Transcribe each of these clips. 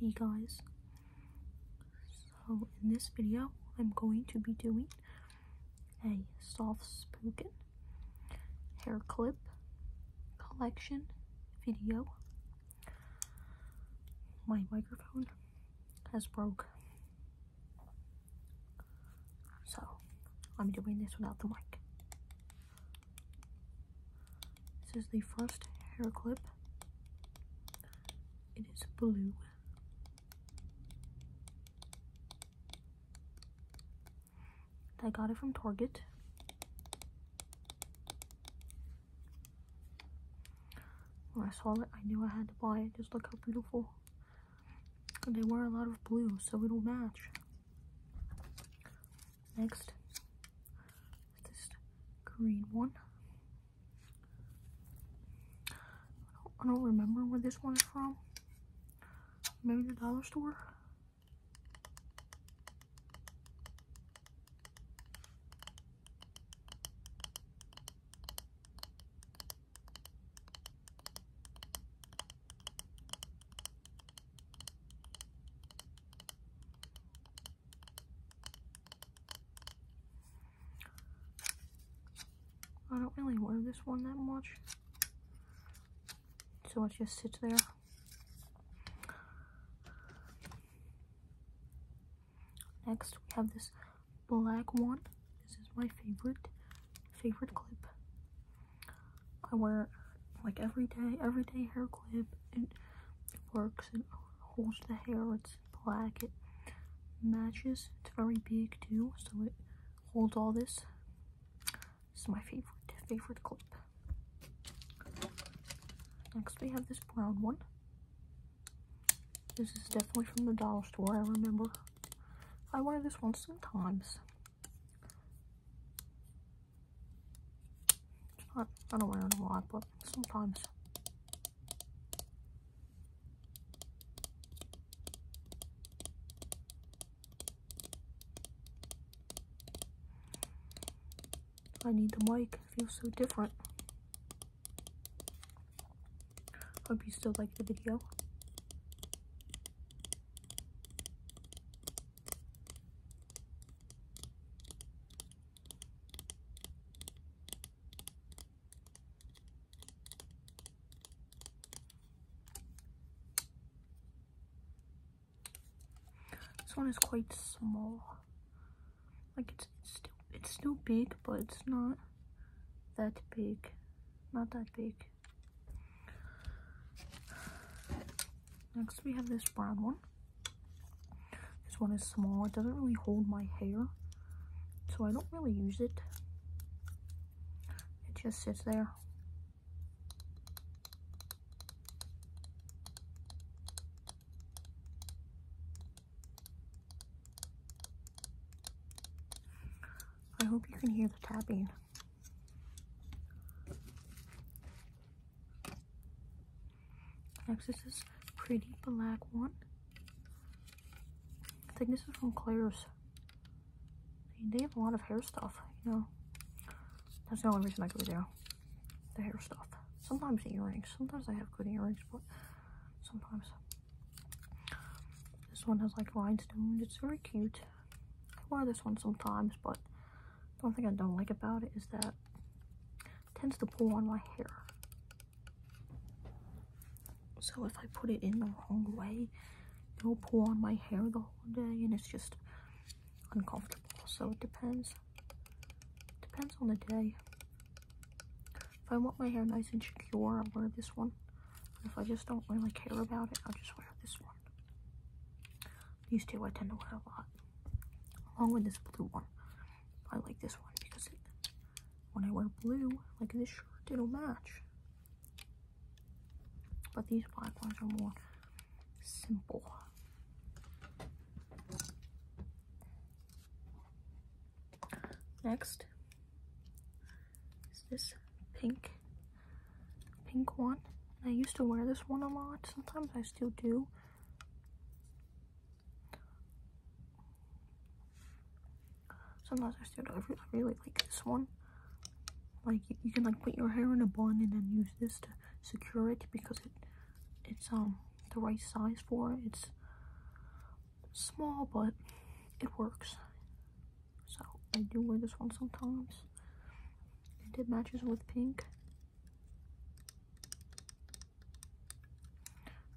Hey guys, so in this video I'm going to be doing a soft spoken hair clip collection video. My microphone has broke, so I'm doing this without the mic. This is the first hair clip. It is blue. I got it from Target. When I saw it, I knew I had to buy it. Just look how beautiful. And they wear a lot of blue, so it'll match. Next, this green one. I don't, I don't remember where this one is from. Maybe the dollar store? I don't really wear this one that much. So it just sits there. Next we have this black one. This is my favorite favorite clip. I wear like every day, everyday hair clip. It works. It holds the hair. It's black. It matches. It's very big too, so it holds all this. This is my favorite favorite clip. Next we have this brown one. This is definitely from the dollar store, I remember. I wear this one sometimes. I don't wear it a lot, but sometimes. I need the mic. It feels so different. Hope you still like the video. This one is quite small. Like it's, it's still it's still big, but it's not that big. Not that big. Next we have this brown one. This one is small. It doesn't really hold my hair. So I don't really use it. It just sits there. I hope you can hear the tapping. Next is this pretty black one. I think this is from Claire's. They have a lot of hair stuff, you know. That's the only reason I go there. The hair stuff. Sometimes earrings. Sometimes I have good earrings, but sometimes. This one has like rhinestones. It's very cute. I wear this one sometimes, but one thing I don't like about it is that it tends to pull on my hair. So if I put it in the wrong way, it'll pull on my hair the whole day and it's just uncomfortable. So it depends. Depends on the day. If I want my hair nice and secure, I'll wear this one. If I just don't really care about it, I'll just wear this one. These two I tend to wear a lot, along with this blue one. I like this one because when I wear blue, like this shirt, it'll match. But these black ones are more simple. Next is this pink pink one. And I used to wear this one a lot. Sometimes I still do. Sometimes I still do. I really, like this one. Like you, you, can like put your hair in a bun and then use this to secure it because it it's um the right size for it. It's small but it works. So I do wear this one sometimes. And it matches with pink.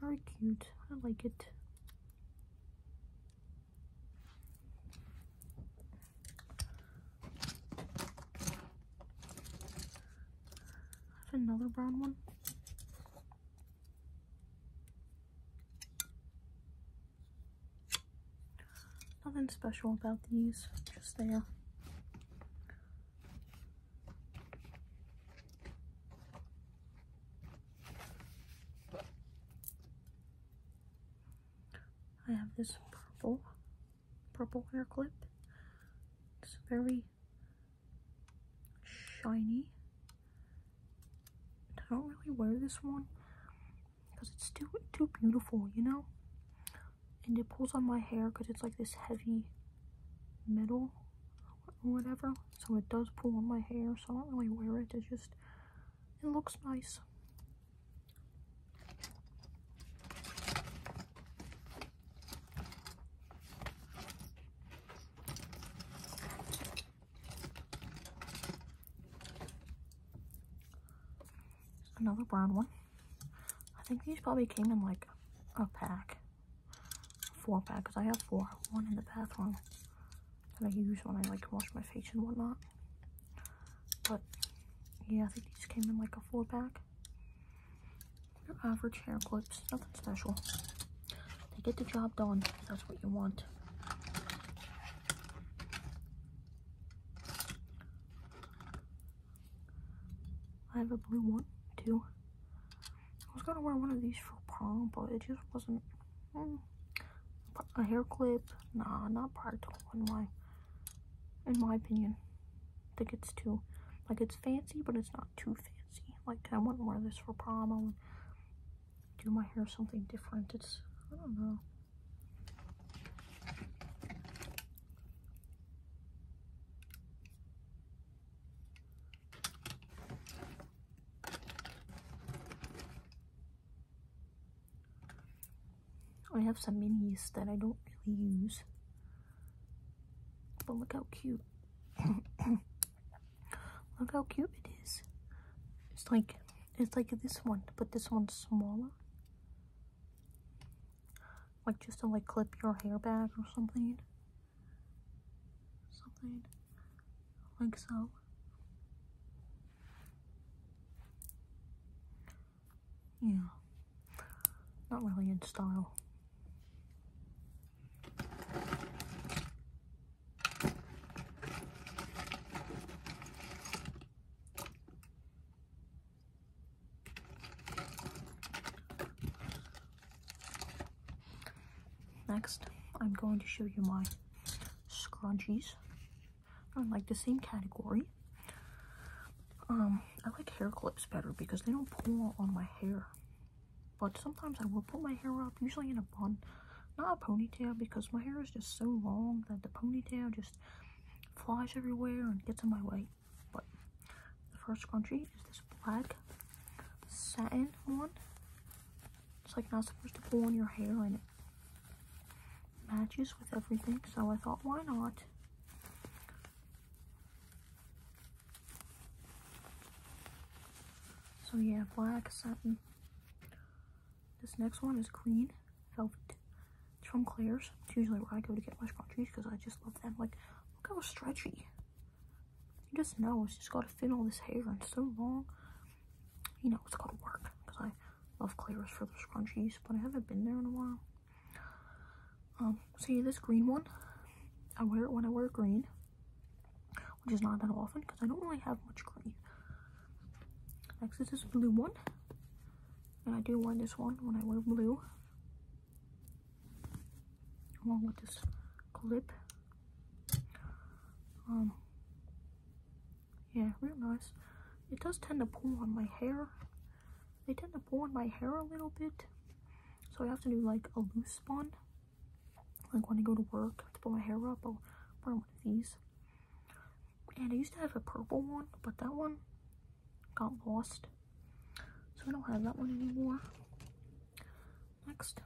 Very cute. I like it. I have another brown one. Nothing special about these, just there. I have this purple, purple hair clip. It's very shiny. I don't really wear this one because it's too too beautiful, you know. And it pulls on my hair because it's like this heavy metal or whatever, so it does pull on my hair. So I don't really wear it. It just it looks nice. Another brown one. I think these probably came in like a pack. Four pack, because I have four. One in the bathroom that I use when I like wash my face and whatnot. But yeah, I think these came in like a four pack. Your average hair clips, nothing special. They get the job done, that's what you want. I have a blue one too. I was gonna wear one of these for prom, but it just wasn't. Hmm. a hair clip, nah, not practical in my, in my opinion. I think it's too, like it's fancy, but it's not too fancy. Like I wouldn't wear this for prom do my hair something different. It's, I don't know. I have some minis that I don't really use. But look how cute. look how cute it is. It's like it's like this one, but this one's smaller. Like just to like clip your hair back or something. Something like so. Yeah. Not really in style. Next, I'm going to show you my scrunchies. I like the same category. Um, I like hair clips better because they don't pull on my hair. But sometimes I will put my hair up, usually in a bun, not a ponytail because my hair is just so long that the ponytail just flies everywhere and gets in my way. But the first scrunchie is this black satin one. It's like not supposed to pull on your hair and it matches with everything. So I thought, why not? So yeah, black satin. This next one is green velvet. It's from Claire's. It's usually where I go to get my scrunchies because I just love them. Like, look how stretchy. You just know it's just got to fit all this hair and so long. You know it's going to work because I love Claire's for the scrunchies, but I haven't been there in a while. Um, see this green one? I wear it when I wear green which is not that often because I don't really have much green. Next is this blue one. And I do wear this one when I wear blue. Along with this clip. Um, yeah, real nice. It does tend to pull on my hair. They tend to pull on my hair a little bit. So I have to do like a loose bun like when I go to work to put my hair up, I'll wear one of these. And I used to have a purple one, but that one got lost. So I don't have that one anymore. Next,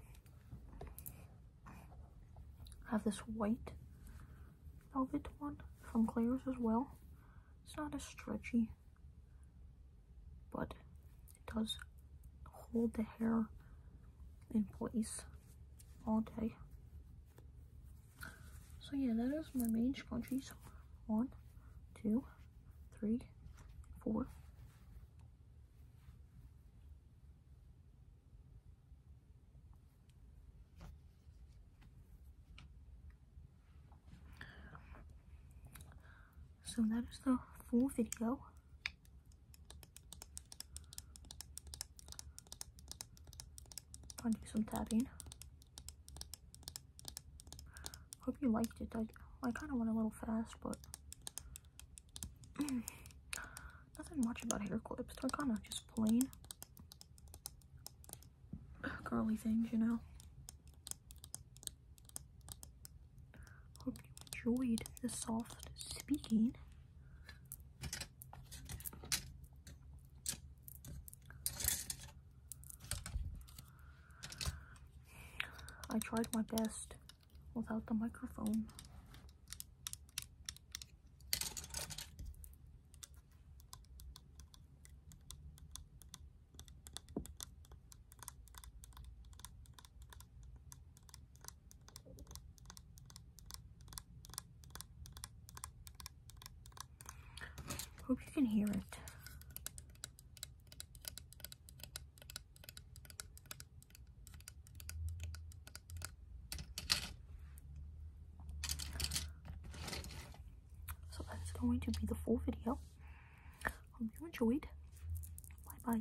I have this white velvet one from Claire's as well. It's not as stretchy, but it does hold the hair in place all day. So yeah, that is my mage countries. One, two, three, four. So that is the full video. I'll do some tapping. Hope you liked it. I, I kind of went a little fast, but nothing much about hair clips. They're kind of just plain curly things, you know. Hope you enjoyed the soft speaking. I tried my best without the microphone. Hope you can hear it. So that's going to be the full video. Hope you enjoyed. Bye bye.